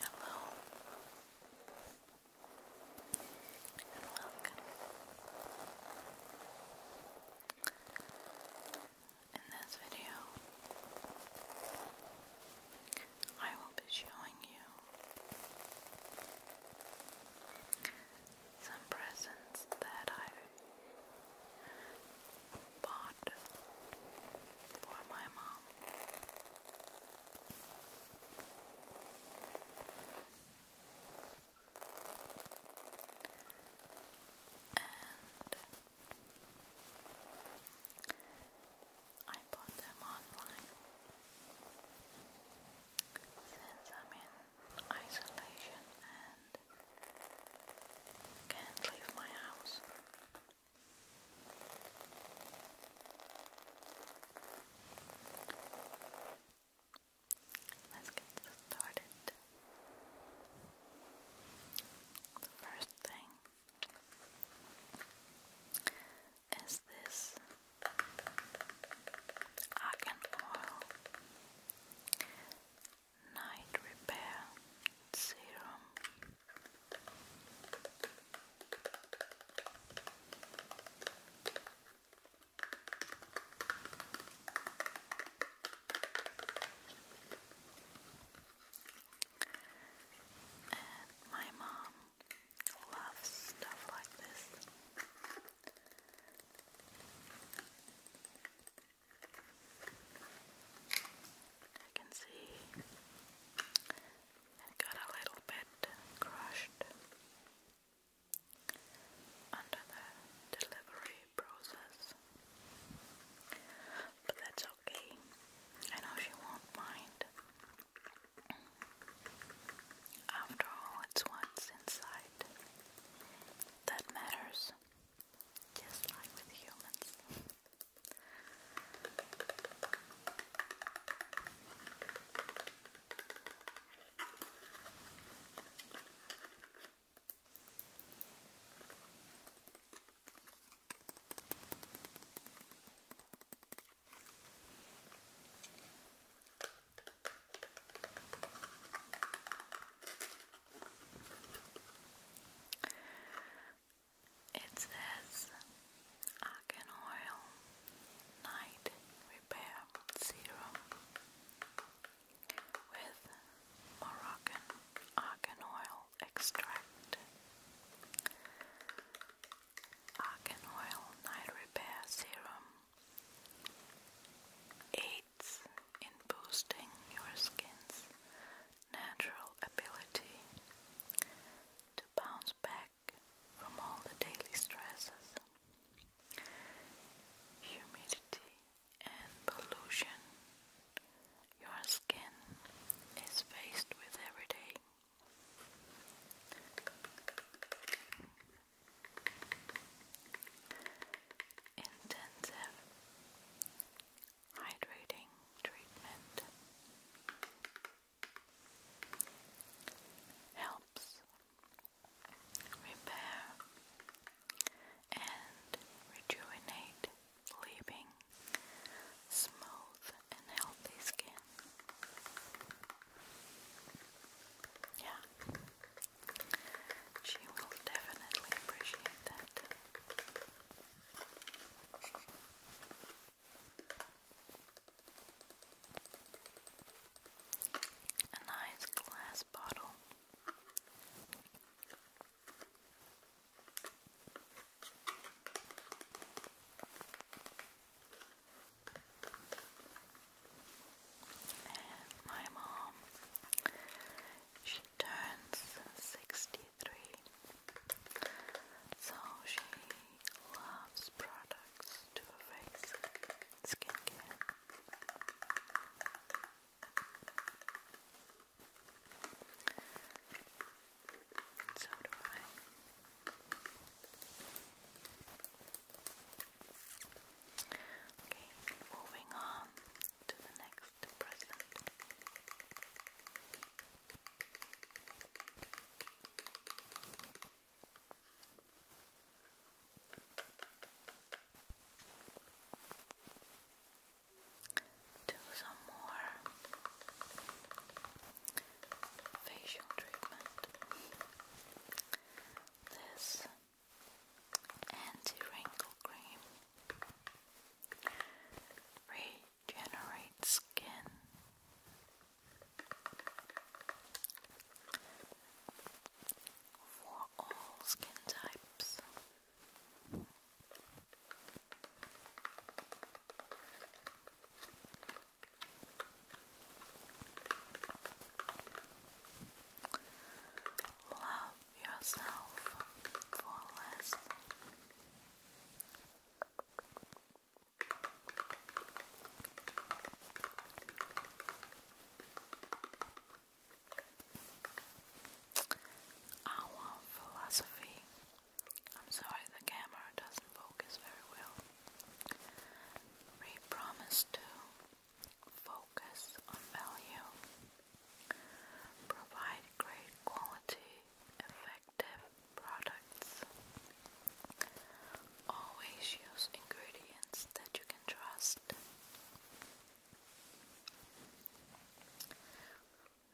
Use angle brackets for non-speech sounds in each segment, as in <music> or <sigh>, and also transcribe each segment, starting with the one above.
Hello and welcome. In this video, I will be showing you some presents that I've bought for my mom. And I bought them online since I'm in isolation and can't leave my house. Let's get started. first thing is this argan oil. Night Repair Serum. my mom loves stuff like this. I can see it got a little bit crushed under the delivery process. But that's okay. I know she won't mind. After all, it's what's inside that matters just like with humans. It says Argan Oil Night Repair Serum with Moroccan Argan Oil Extract. Argan Oil Night Repair Serum. 8 in boosting your skin's natural ability to bounce back from all the daily stresses. Humidity and pollution. Your skin is faced with every day intensive hydrating treatment helps repair and rejuvenate leaving smooth and healthy skin. Yeah. She will definitely appreciate that. A nice glass bottle. And my mom, she turns 63. So she loves products to face skincare. So do I. Okay, moving on to the next present. Do some more facial treatment. This Anti-wrinkle cream regenerates skin. For all skin types, love yourself for less. Our philosophy. I'm sorry, the camera doesn't focus very well. We promise to focus on value, provide great quality, effective products, always use ingredients that you can trust.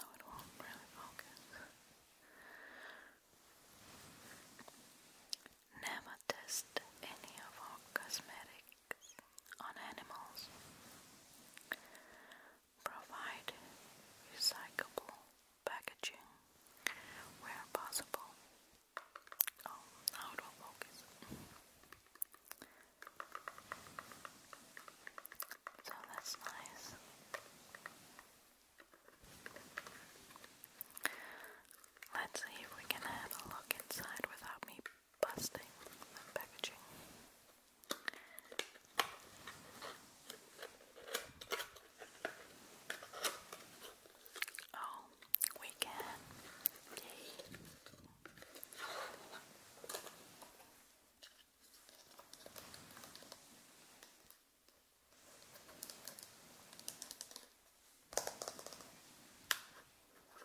No, it won't really focus. Never test any of our cosmetic on animals, provide recyclable packaging where possible. Oh, now it will focus. So that's nice. Let's see if we can have a look inside without me Busting, packaging. Oh, we Yay.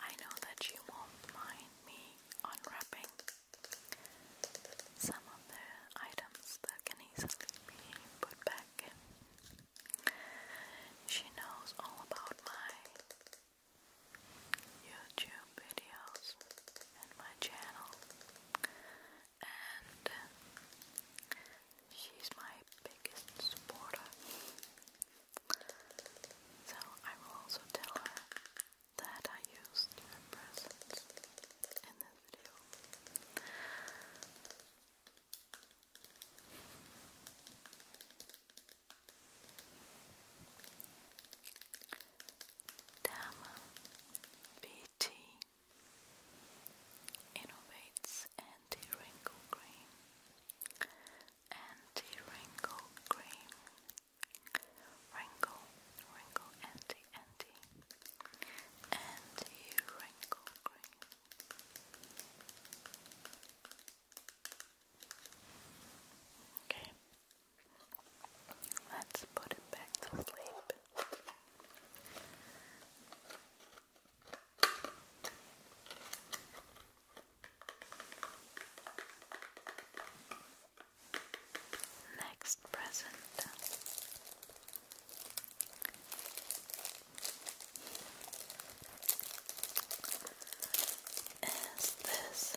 I know that you won't mind me unwrapping some of the items that can easily put back in. She knows all about my YouTube videos and my channel and uh, she's my biggest supporter so I will also tell her that I used your presents in this video Dharma BT innovates anti-wrinkle cream. Anti-wrinkle cream. Wrinkle, wrinkle, anti, anti, anti-wrinkle cream. Okay. Let's put it back to sleep. Next present. Is this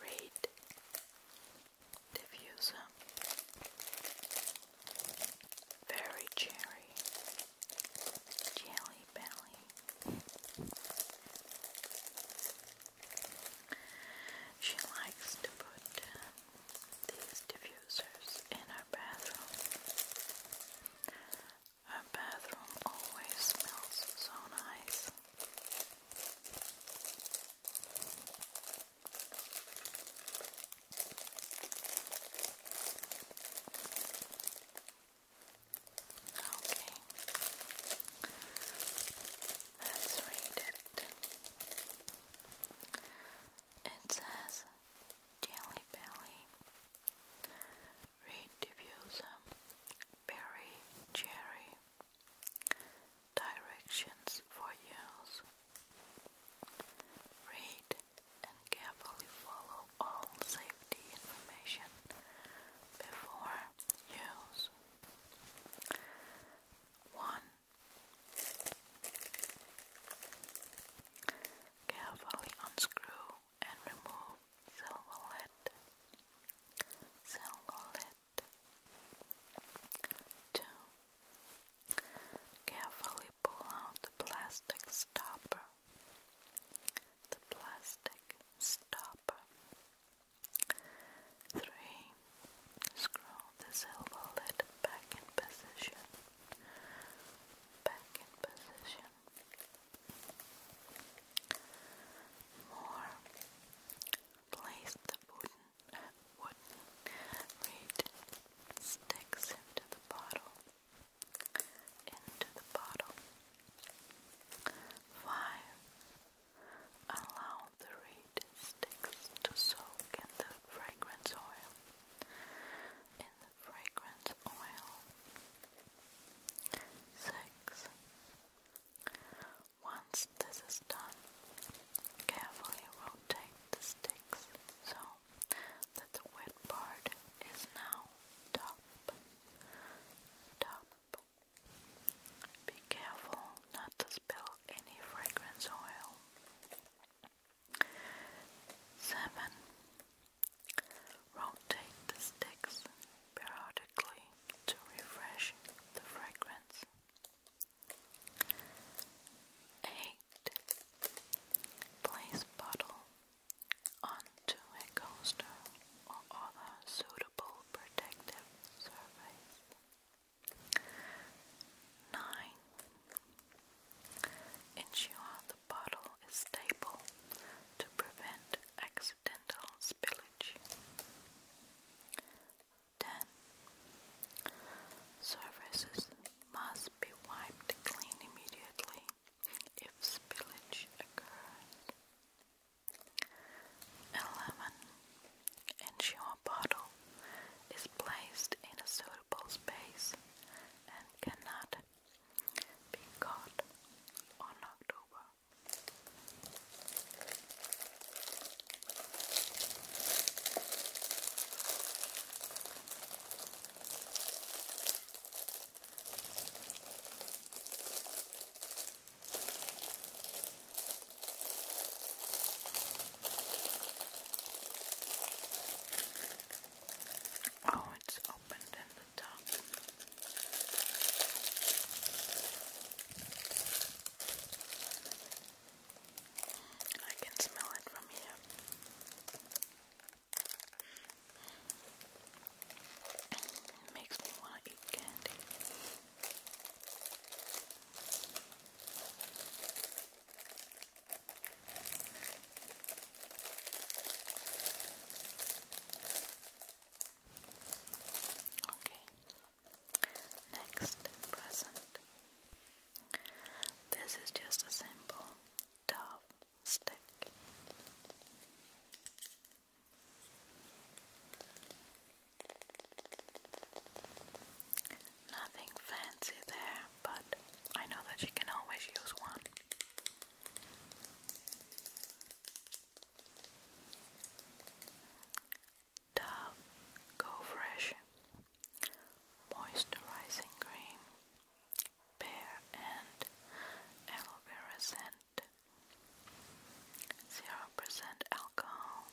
Read diffuser. Very cherry. Jelly belly. She likes to put uh, these diffusers in her bathroom. Her bathroom always smells so nice. Okay, let's read it. It says Jelly Belly. Read the views um, Berry Cherry Directions for Use Read and carefully follow all safety information before use. 1. Carefully unscrew and remove silver lead, silver lead. Two. Carefully pull out the plastic stopper. The plastic stopper. Three. Screw the silver lid back in position. Back in position more place the wooden reed sticks into the bottle into the bottle five allow the reed sticks to soak in the fragrance oil in the fragrance oil Six. Once this is done, carefully rotate the sticks so that the wet part is now top. Top. Be careful not to spill any fragrance oil. Seven. Rotate the sticks periodically to refresh the fragrance. 8. Place bottle onto a coaster or other suitable protective surface. 9. Ensure the bottle is stable to prevent excess accidental spillage. 10. Surfaces must be wiped clean immediately if spillage occurs. 11. Ensure bottle is placed in a suitable space and cannot being caught on October. Oh, it's opened in I can smell it from here. makes me want to eat candy. Okay. Next present. This is just a simple dove stick. Nothing fancy there, but I know that you can always use one. The Go Fresh Moisturizing Cream Pear and Aloe Vera Scent 0% alcohol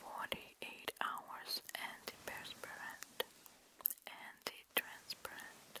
48 hours antiperspirant anti-transparent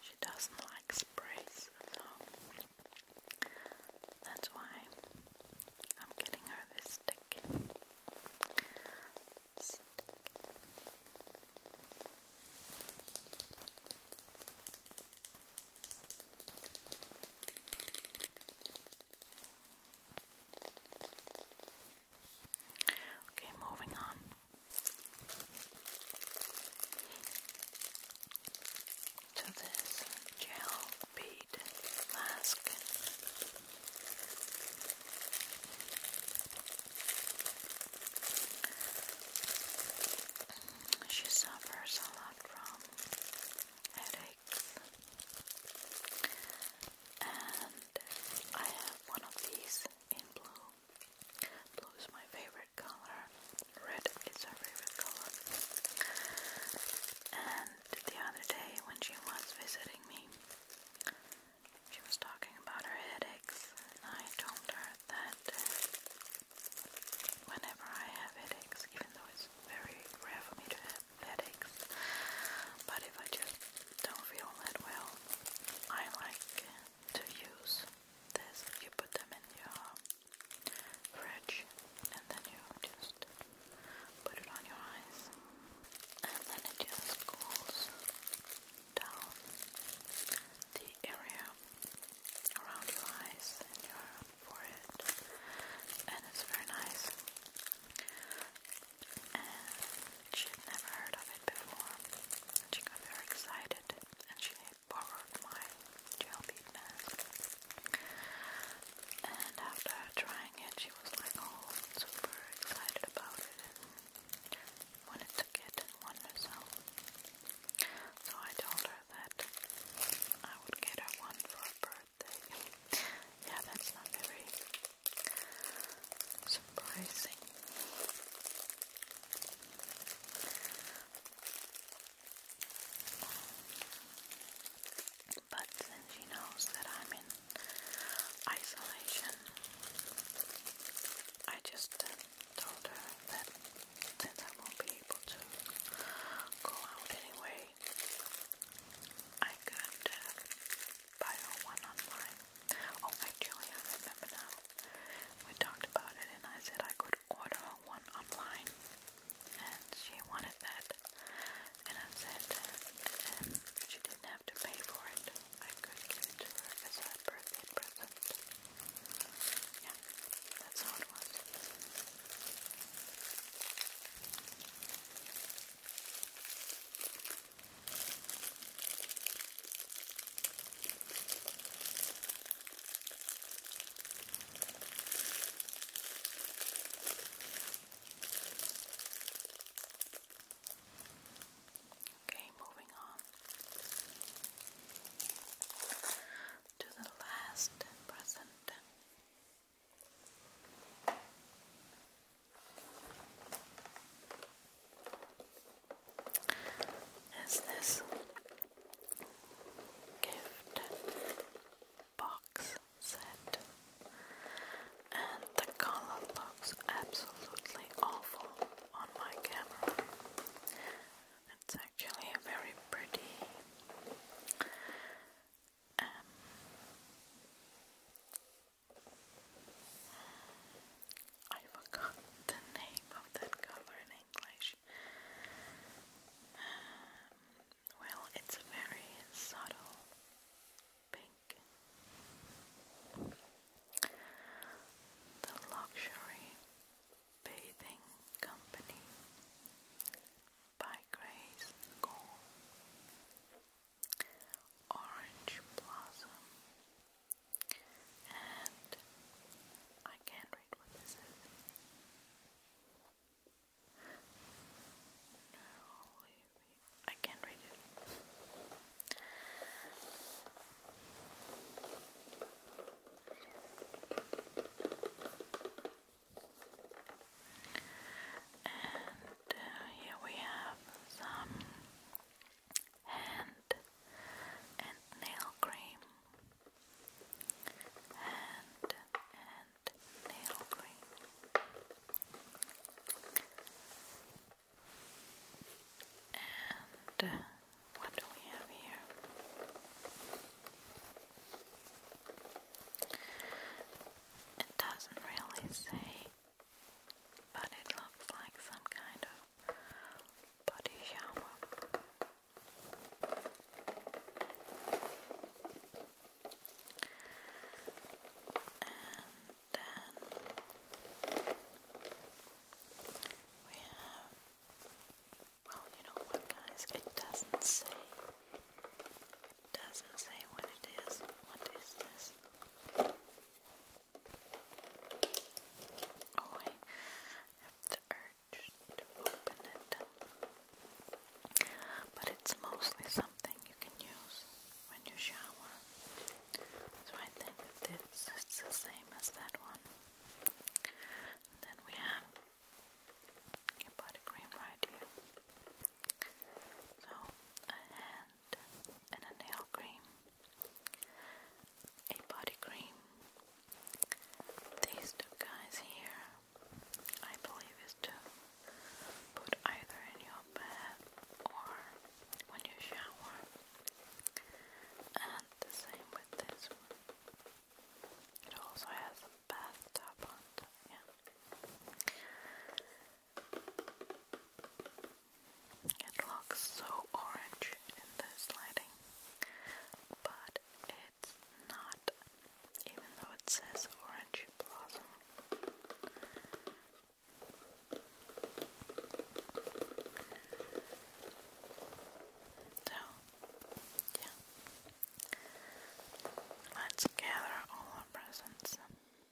She doesn't like sprays, so that's why I'm getting her this stick. Okay, moving on to this gel bead mask. She suffers a lot from headaches, and I have one of these in blue. Blue is my favorite color. Red is her favorite color. And the other day when she was visiting me, she was talking about her headaches, and I told her that uh, whenever I have headaches, even though it's very rare for me to have headaches, but if I just don't feel that well, I like to use this, you put them in your fridge and then you just put it on your eyes and then it just cools down the area around your eyes and your and it's very nice she had never heard of it before, and she got very excited, and she borrowed my gel bead mask. And after trying it, she was like oh, super excited about it wanted to get one herself. So I told her that I would get her one for her birthday. yeah, that's not very surprising. But since she knows that I'm in isolation, I just uh, told her that since I won't be able to go out anyway, I could buy her one online. Oh, actually, I remember now. We talked about it, and I said I could order one online, and she wanted that. And I said um, she didn't have to pay for it. I could give it to her as a birthday present. Yeah, that's how it was. Okay, moving on to the last present is this gift box set, and the color looks absolutely awful on my camera. It's actually very pretty. Um, I forgot the name of that color in English. Um, well, it's a very subtle pink. The Luxury Bathing Company by Grace Gore. Orange Blossom and I can't read what this is. No, I can't read it. And uh, here we have some hand and nail cream. and nail cream. And what do we have here? It doesn't really say but it looks like some kind of body shower. And we have, well, you know what, guys, it doesn't say. It doesn't say what it is. What is this? Oh, I have the urge to open it, but it's mostly something you can use when you shower. So I think this is the same as that one. then we have your body cream right here. So a and a nail cream, a body cream. These two guys here, I believe, is to put either in your bed or when you shower, and the same with this one. It also has a bathtub on top, it looks so orange in this lighting, but it's not, even though it says orange blossom. So, yeah. Let's gather all our presents.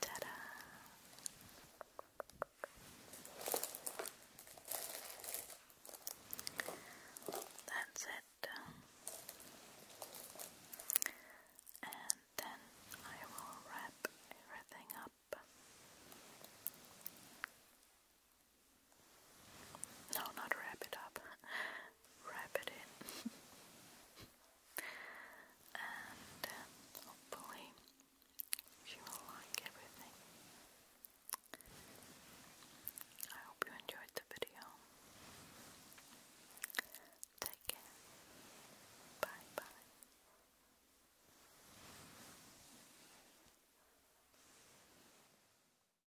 Ta-da! That's it. And then I will wrap everything up. No, not wrap it up. <laughs> wrap it in. <laughs> and uh, hopefully she will like everything. I hope you enjoyed the video. Take care. Bye bye.